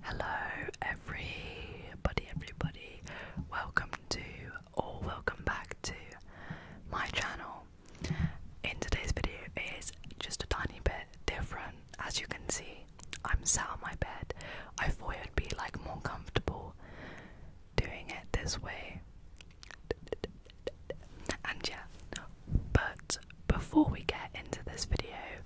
Hello, everybody, everybody. Welcome to or welcome back to my channel. In today's video is just a tiny bit different. As you can see, I'm sat on my bed. I thought it'd be like more comfortable doing it this way. And yeah, but before we get into this video,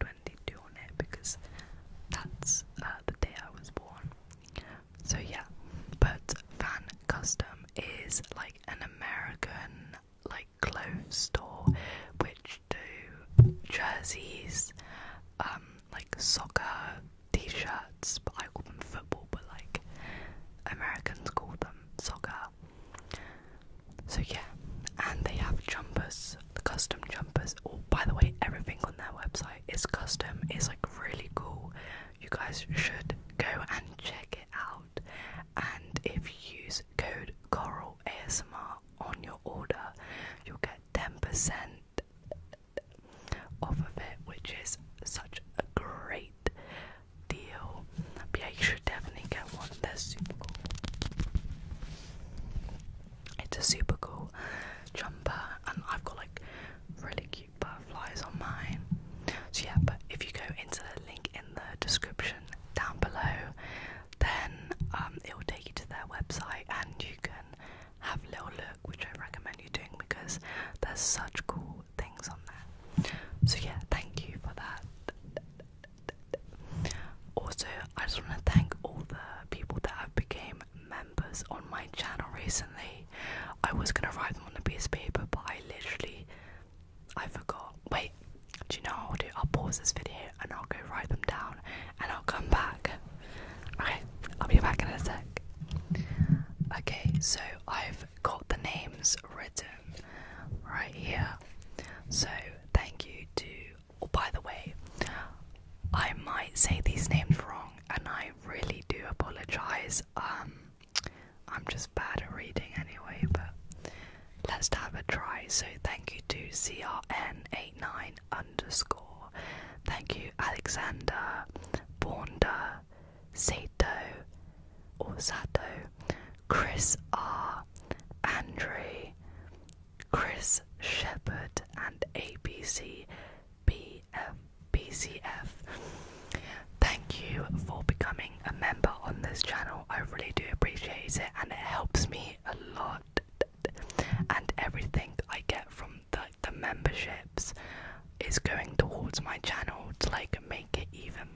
2022 on it because that's uh, the day I was born. So yeah, but Van Custom is like an American like clothes store which do jerseys, um, like soccer t-shirts, but I call them football, but like Americans call them soccer so yeah, and they have jumpers, the custom jumpers. Oh, by the way, everything on their website is custom. It's like really cool. You guys should go and check it out. And if you use code Coral ASMR on your order, you'll get 10% off of it, which is such a great deal yeah, you should definitely get one. They're super cool. It's a super cool jumper, and I've got like really cute butterflies on mine. So yeah, but if you go into the link in the description down below, then um, it will take you to their website, and you can have a little look, which I recommend you doing because there's such cool things on there. So yeah, thank you for that. Also, I just want to thank all the people that have became members on my channel recently. I was gonna write them on a piece of paper, but I literally I forgot. Wait, do you know what I'll do? I'll pause this video and I'll go write them down and I'll come back. Okay, I'll be back in a sec. Okay, so I've got the names written right here. So thank you to. Oh, by the way, I might say these names wrong, and I really do apologize. Um, I'm just bad at reading anyway, but let's have a try. So thank you to CRN89 underscore. Thank you, Alexander, Bonda, Sato, or Sato, Chris R, Andrew, Chris Shepherd, and ABC BF, Thank you for becoming a member on this channel. I really do appreciate it, and it helps me a lot. And everything I get from the memberships is going towards my channel to like make it even,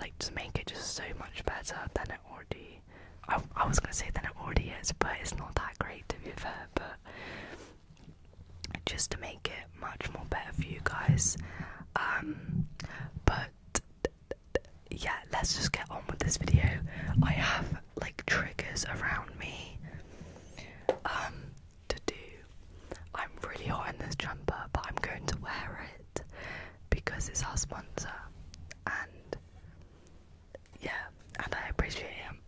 like to make it just so much better than it already. I, I was gonna say that it already is, but it's not that great to be fair. But just to make it much more better for you guys. Um, but yeah, let's just get on with this video. I have like triggers around me um, to do. I'm really hot in this jumper, but I'm going to wear it because it's our sponsor and yeah, and I appreciate him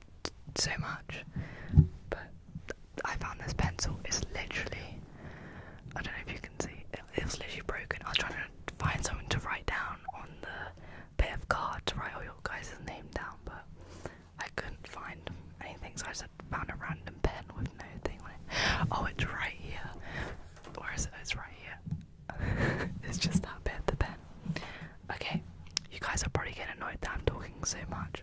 so much. But I found this pencil, it's literally, I don't know if you can see, it, it literally broken. I was trying to find someone to write down on the bit of card to write all your guys' name down, but I couldn't find anything, so I just found a random pen with no thing on it. Oh, it's right here. Where is it? It's right here. it's just that bit, the pen. Okay, you guys are probably getting annoyed that I'm talking so much.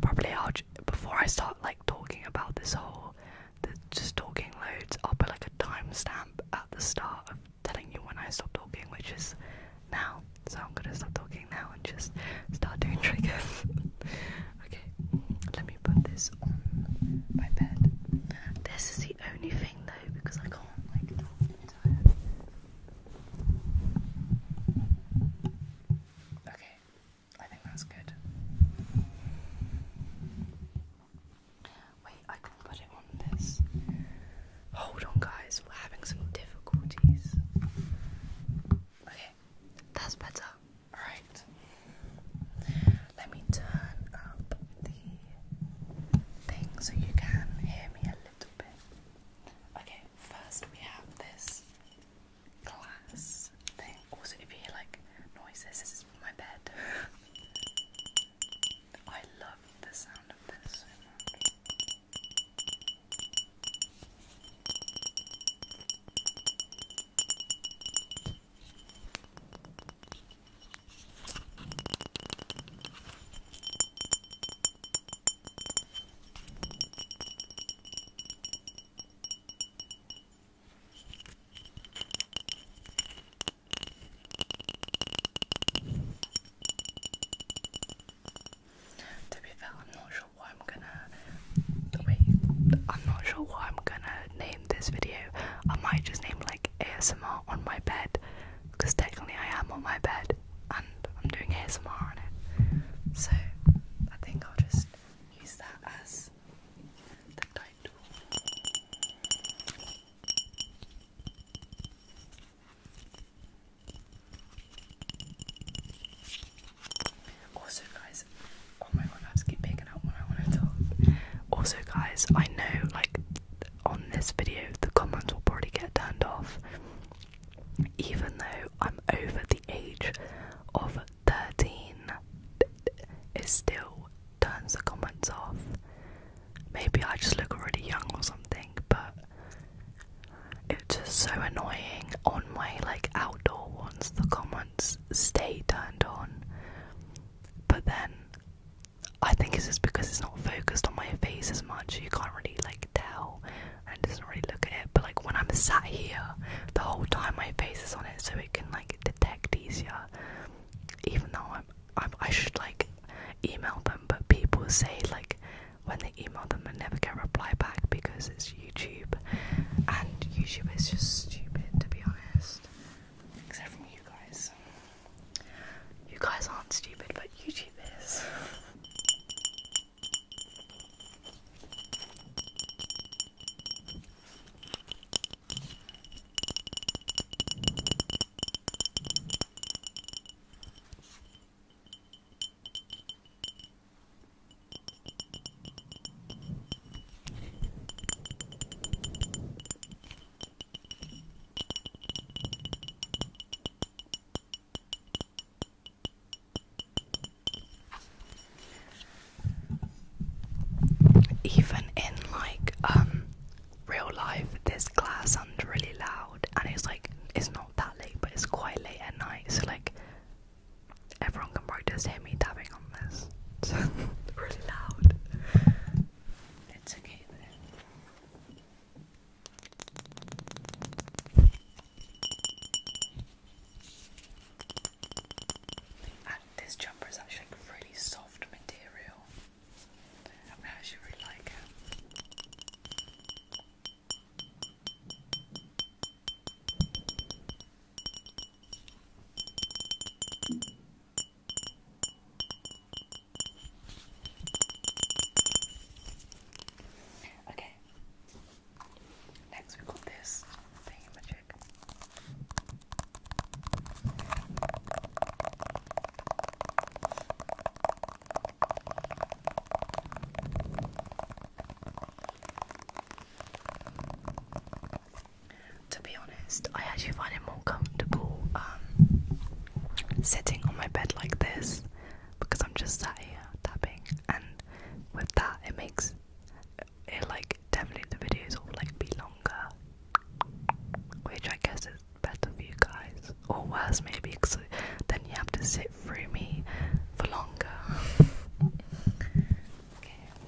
Probably I'll before I start like talking about this whole, the, just talking loads. I'll put like a timestamp at the start of telling you when I stop talking, which is now. So I'm gonna stop talking now and just start doing triggers. Okay, let me put this on my bed. This is the only thing though, because I can't like Okay, I think that's good. Wait, I can put it on this. Hold on, guys, we're having some difficulties. Okay, that's better. Alright. Let me turn up the thing so you can hear me a little bit. Okay, first we have this glass thing. Also, if you hear like noises, this is my bed. I love the sound of this so much. To be fair, I'm not sure why I'm gonna I'm not sure what I'm gonna name this video. I might just name like ASMR on my bed because technically I am on my bed and I'm doing ASMR on it. So I think I'll just use that as the title. Also, guys, oh my god, I just keep picking up when I want to talk. Also, guys, I know like on this video the comments will probably get turned off, even though I'm over the age of 13. It still turns the comments off. Maybe I just look already young or something, but it's just so annoying on my like outdoor ones. The comments stay turned on. But then I think it's just because it's not focused on my face as much, you can't really like tell and doesn't really look at it. But like when I'm sat here, the whole time my face is on it so it can like detect easier. Even though I'm, I'm I should like email them, but people say like when they email them they never get a reply back because it's you. YouTube, and YouTube is just stupid to be honest. Except from you guys. You guys aren't stupid, but YouTube is. Even in like um real life, this class sounds really loud, and it's like it's not that late, but it's quite late at night. So like everyone can practice hearing me tapping on this. It's really loud. It's okay this jumper is actually like really soft material. I actually really like it. Okay. Next, we've got this thingamajig. To be honest, I actually find it more comfortable um, sitting on my bed like this because I'm just sat here tapping, and with that, it makes it like definitely the videos will like be longer, which I guess is better for you guys, or worse maybe, because then you have to sit through me for longer.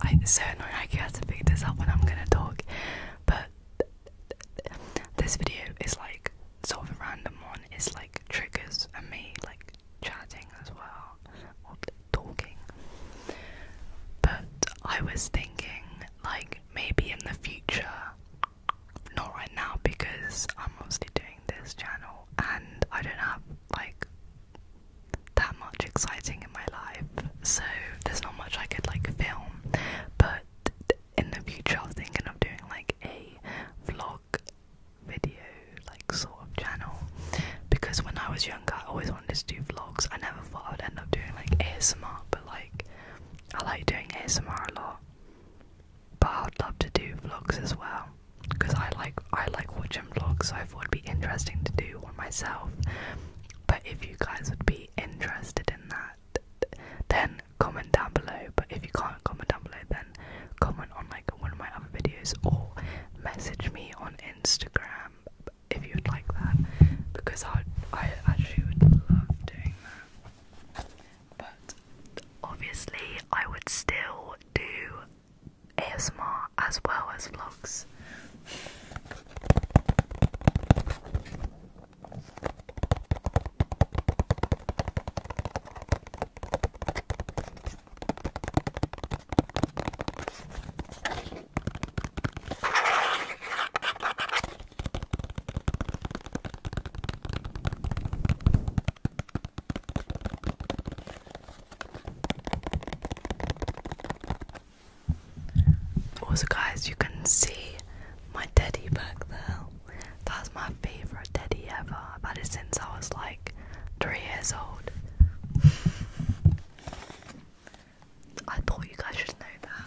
I so annoying I had to pick this up when I'm gonna talk, but this video is like sort of a random one. It's like triggers and me like chatting as well or talking. But I was thinking like maybe in the future not right now because I'm mostly doing this channel and I don't have like that much exciting in my life, so there's not much I could like film. But in the future, I am thinking of doing like a vlog video, like sort of channel, because when I was younger, I always wanted to do vlogs. I never thought I would end up doing like ASMR, but like I like doing ASMR a lot. But I'd love to do vlogs as well, because I like I like watching vlogs, so I thought it'd be interesting to do one myself. But if you guys would be interested in that, then comment down below. But if you can't comment down below, then comment on like one of my other videos or message me on Instagram if you'd like that, because I I actually would love doing that. But obviously, I would still do ASMR as well as vlogs. Also, guys, you can see my teddy back there. That's my favorite teddy ever. I've had it since I was like three years old. I thought you guys should know that.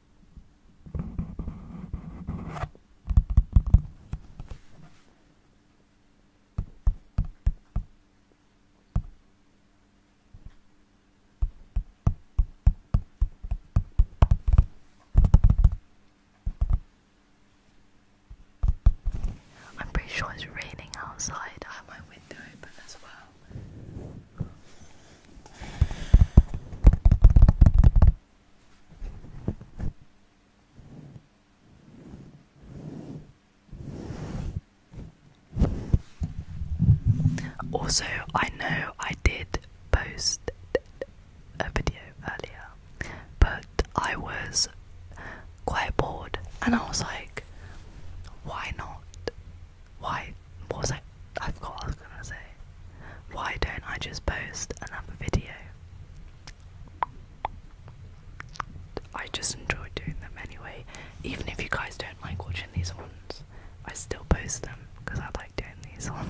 I'm pretty sure it's raining outside. I have my window open as well. Also, I know I did post a video earlier, but I was quite bored and I was like, why not? Why? What was I? I forgot what I was gonna say. Why don't I just post another video? I just enjoy doing them anyway. Even if you guys don't like watching these ones, I still post them because I like doing these ones.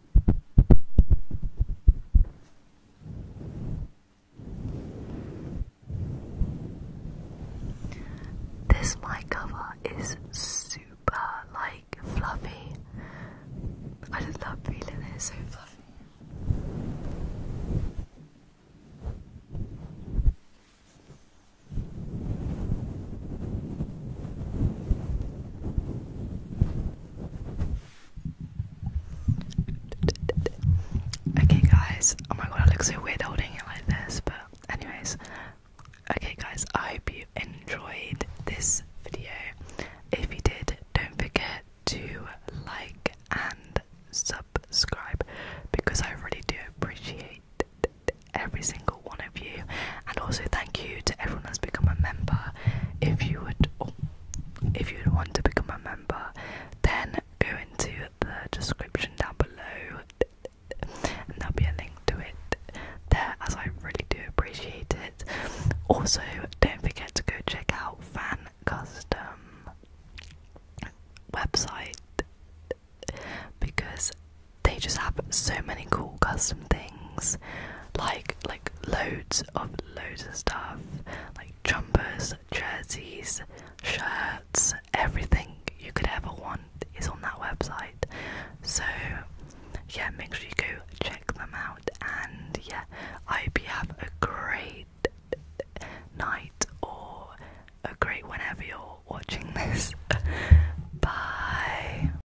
This mic cover is super like fluffy. I just love feeling it, so fluffy. Okay, guys. Oh my god, I look so weird holding it like this. But, anyways, okay, guys. I hope you enjoyed this video. If you did, don't forget to like and subscribe because I really do appreciate every single one of you. And also thank you to everyone that's become a member. If you would oh, if you would want to become a member, then go into the description down below and there'll be a link to it there as I really do appreciate it. Also don't forget to go check out Fan Custom website because they just have so many cool custom things, like like loads of loads of stuff, like jumpers, jerseys, shirts, everything you could ever want is on that website. So yeah, make sure you go check them out, and yeah, I hope you have a great night or a great whenever you're watching this. Bye.